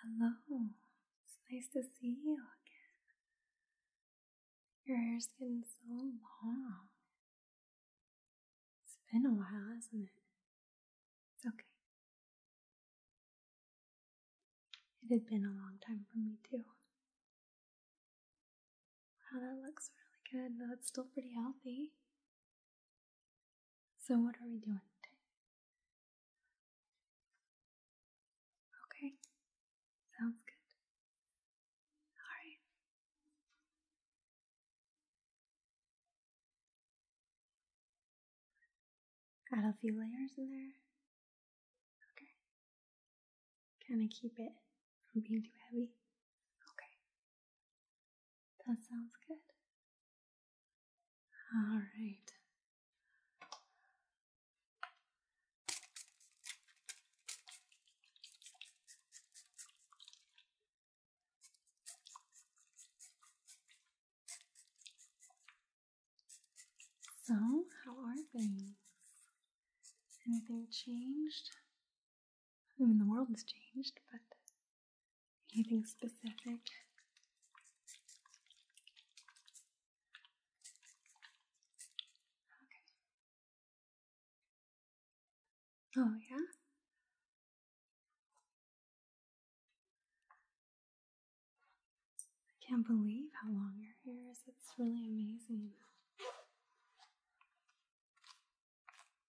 Hello, it's nice to see you again. Your hair's getting so long. It's been a while, hasn't it? It's okay. It had been a long time for me, too. Wow, that looks really good, though it's still pretty healthy. So, what are we doing today? Okay, sounds good. All right. Add a few layers in there. Okay. Kind of keep it from being too heavy. Okay. That sounds good. All right. So, how are things? Anything changed? I mean, the world has changed, but Anything specific? Okay. Oh, yeah? I can't believe how long your hair is. It's really amazing.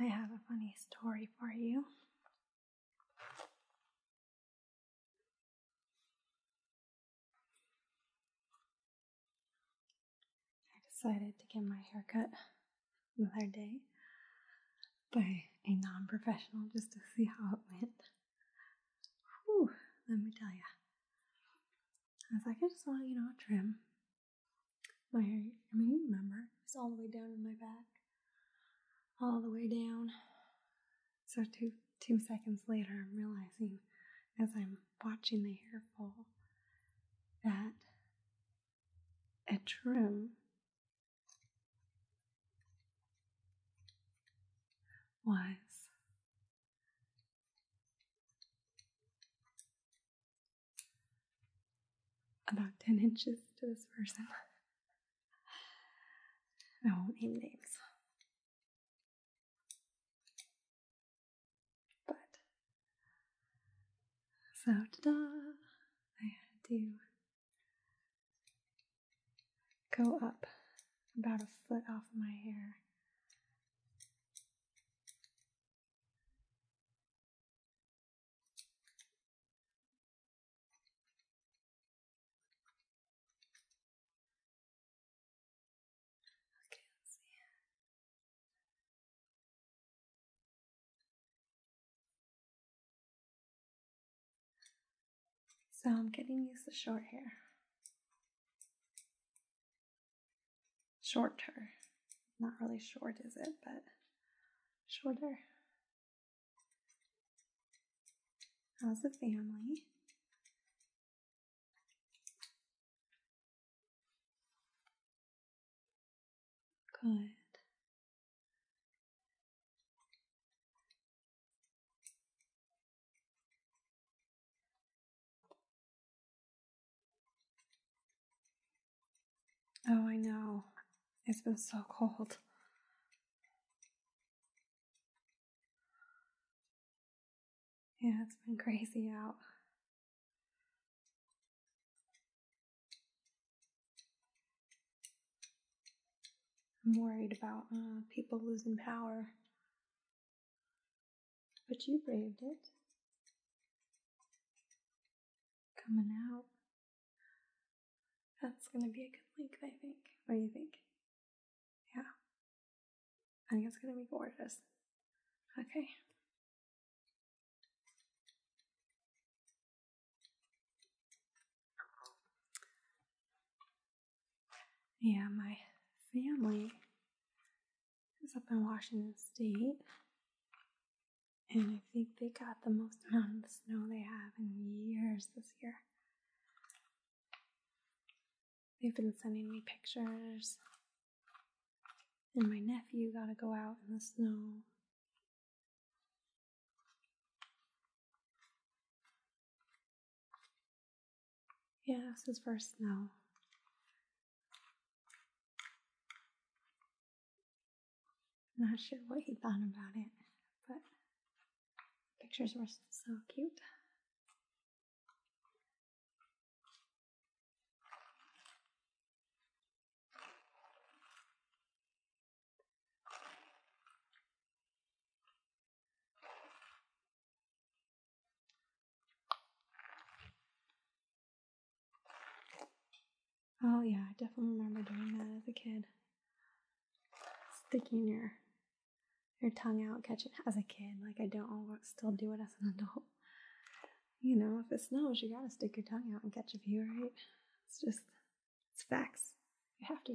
I have a funny story for you. I decided to get my haircut the other day by a non professional just to see how it went. let me tell you. I was like, I just want, you know, a trim. My hair, I mean, you remember, it's all the way down in my back, all the way down. So, two, two seconds later, I'm realizing as I'm watching the hair fall that a trim was about 10 inches to this person. I won't name names. But so da I had to go up about a foot off my hair. Okay, let's see. So I'm getting used to short hair. Shorter. Not really short, is it? But shorter. How's the family? Good. Oh, I know. It's been so cold. Yeah, it's been crazy out. I'm worried about uh, people losing power. But you braved it. Coming out. That's going to be a good link, I think. What do you think? Yeah. I think it's gonna be gorgeous. Okay. Yeah, my family is up in Washington State. And I think they got the most amount of snow they have in years this year. They've been sending me pictures. And my nephew got to go out in the snow. Yeah, this is first snow. not sure what he thought about it, but pictures were so cute. Oh yeah, I definitely remember doing that as a kid. Sticking your your tongue out, catching as a kid. Like I don't still do it as an adult. You know, if it snows, you gotta stick your tongue out and catch a view, right? It's just, it's facts. You have to.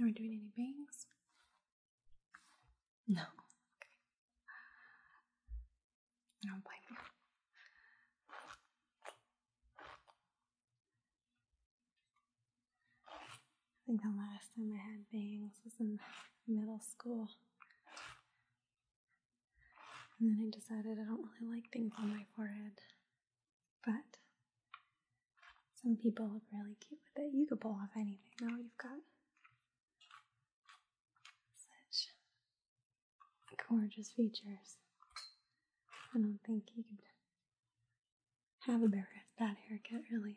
Are we doing any bangs? No. I don't blame you. I think the last time I had bangs was in middle school. And then I decided I don't really like bangs on my forehead. But some people look really cute with it. You could pull off anything. Now you've got such gorgeous features. I don't think you could have a bad, bad haircut, really.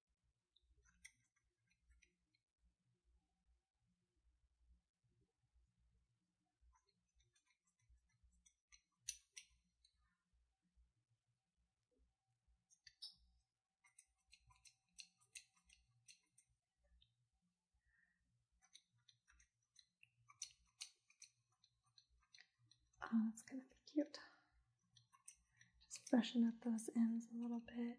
Oh, that's gonna be cute. Just brushing up those ends a little bit.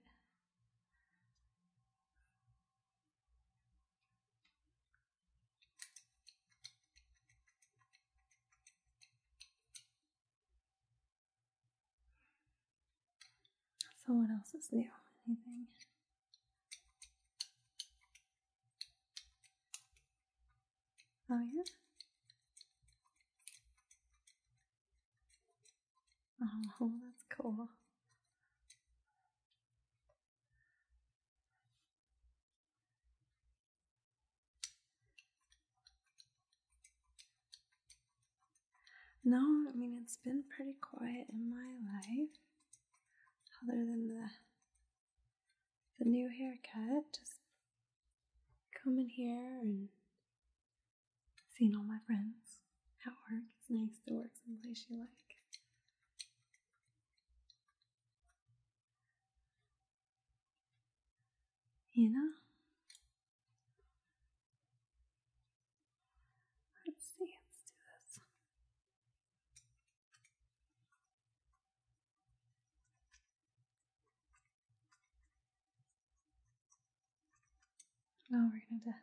So, what else is new? Anything? Oh, yeah. Oh, that's cool. No, I mean, it's been pretty quiet in my life, other than the the new haircut. Just come in here and Seeing all my friends at work. It's nice to work someplace you like. You know? Let's see, let's do this. No, oh, we're gonna have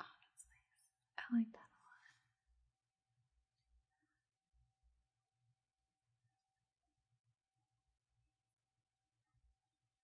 oh, I like that a lot.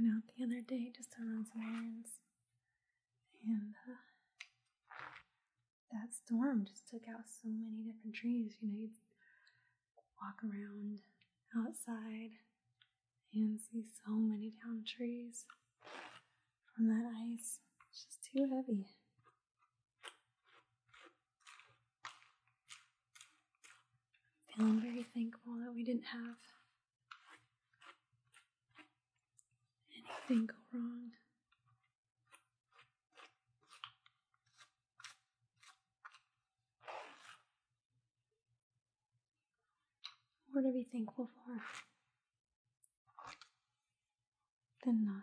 went out the other day just to run some errands. And uh, that storm just took out so many different trees. You know, you walk around outside and see so many down trees from that ice. It's just too heavy. feeling very thankful that we didn't have anything go wrong. More to be thankful for than not.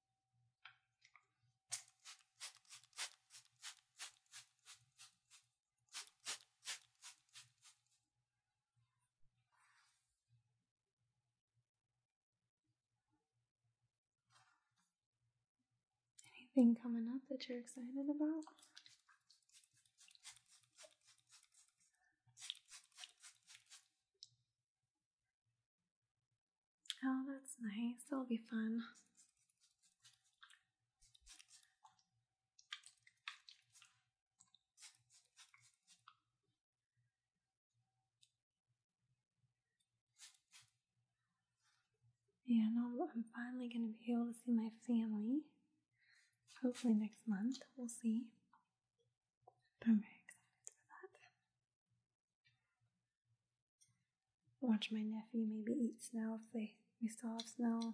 Anything coming up that you're excited about? Oh, that's nice. That'll be fun. Yeah, I'm finally going to be able to see my family. Hopefully next month. We'll see. I'm very excited for that. Watch my nephew maybe eat snow if they, they still have snow.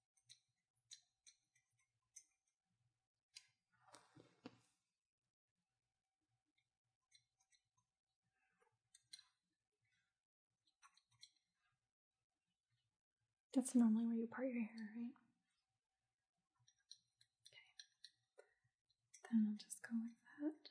That's normally where you part your hair, right? Okay. Then I'll just go like that.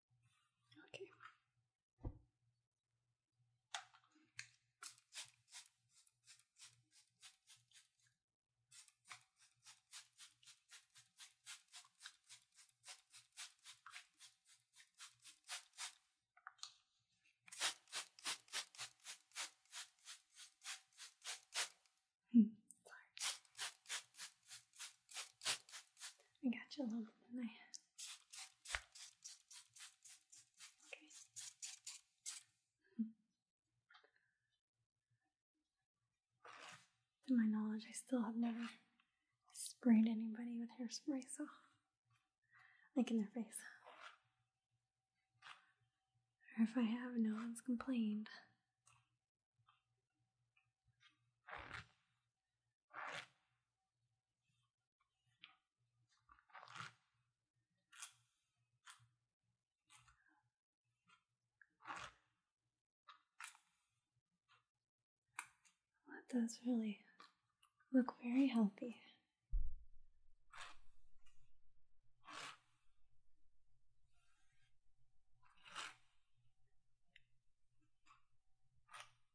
Okay. Hmm. I got you a little bit in my head. To my knowledge, I still have never sprayed anybody with hairspray, so like in their face. Or if I have, no one's complained. That does really look very healthy.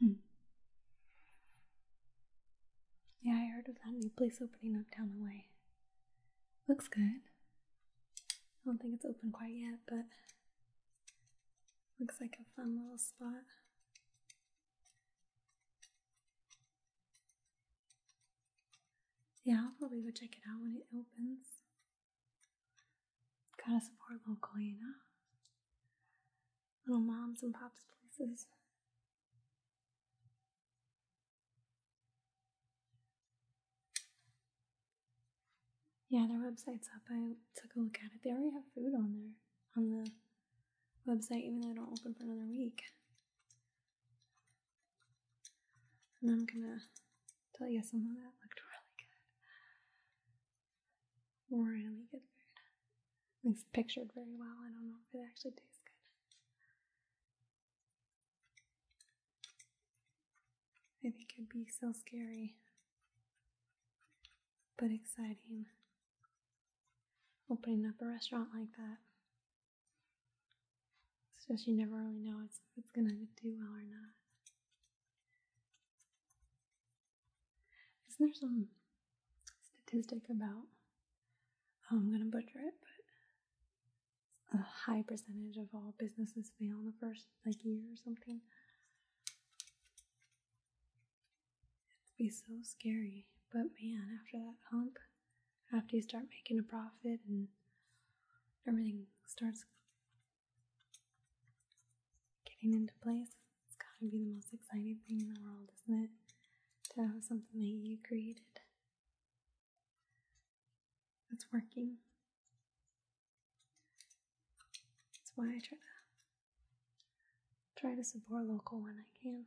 Hmm. Yeah, I heard of that new place opening up down the way. Looks good. I don't think it's open quite yet, but looks like a fun little spot. Yeah, I'll probably go check it out when it opens. Gotta support local, you know? Little moms and pops places. Yeah, their website's up. I took a look at it. They already have food on there, on the website, even though I don't open for another week. And I'm gonna tell you something that looked really good. Really good food. pictured very well. I don't know if it actually tastes good. I think it'd be so scary, but exciting. Opening up a restaurant like that it's just you never really know if it's gonna do well or not. Isn't there some statistic about? Oh, I'm gonna butcher it, but a high percentage of all businesses fail in the first like year or something. It'd be so scary, but man, after that hump, after you start making a profit and everything starts getting into place, it's gotta be the most exciting thing in the world, isn't it? To have something that you created that's working. That's why I try to try to support local when I can.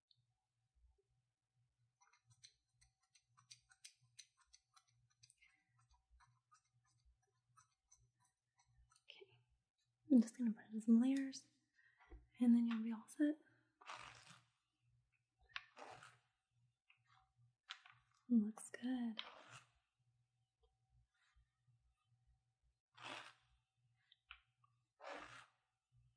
Okay, I'm just going to put in some layers and then you'll be all set. Looks good.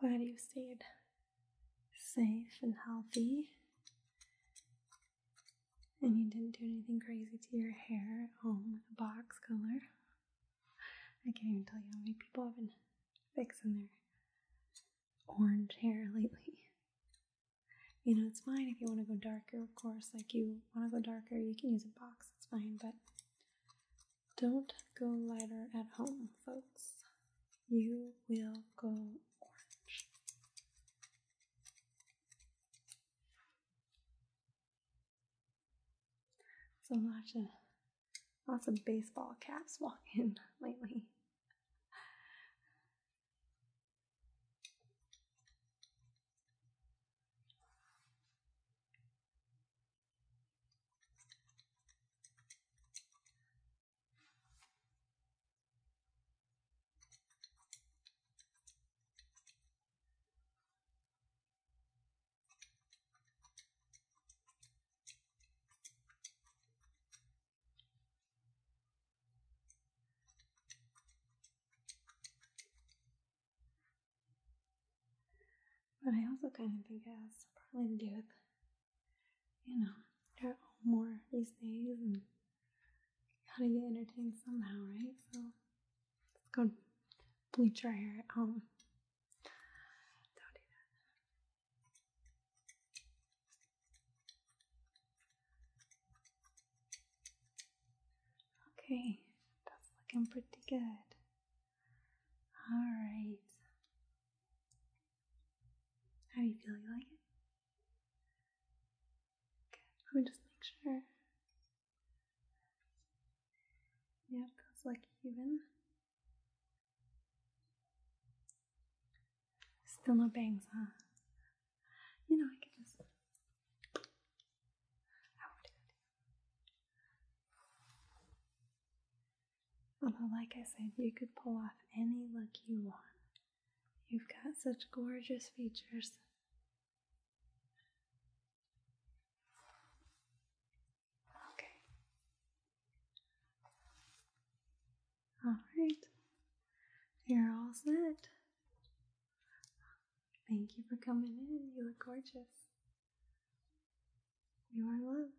I'm glad you stayed safe and healthy and you didn't do anything crazy to your hair at home with a box color. I can't even tell you how many people have been fixing their orange hair lately. You know, it's fine if you want to go darker, of course. Like you want to go darker, you can use a box, it's fine, but don't go lighter at home, folks. You will go orange. So lots of lots of baseball caps walking lately. But I also kind of think it has partly to do with, you know, there are more these days gotta get entertained somehow, right? So let's go bleach our hair at home. Don't do that. Okay, that's looking pretty good. All right. How do you feel? You like it? Let me just make sure. Yeah, that's like even. Still no bangs, huh? You know, I could just. Although, like I said, you could pull off any look you want. You've got such gorgeous features. Okay. All right. You're all set. Thank you for coming in. You look gorgeous. You are loved.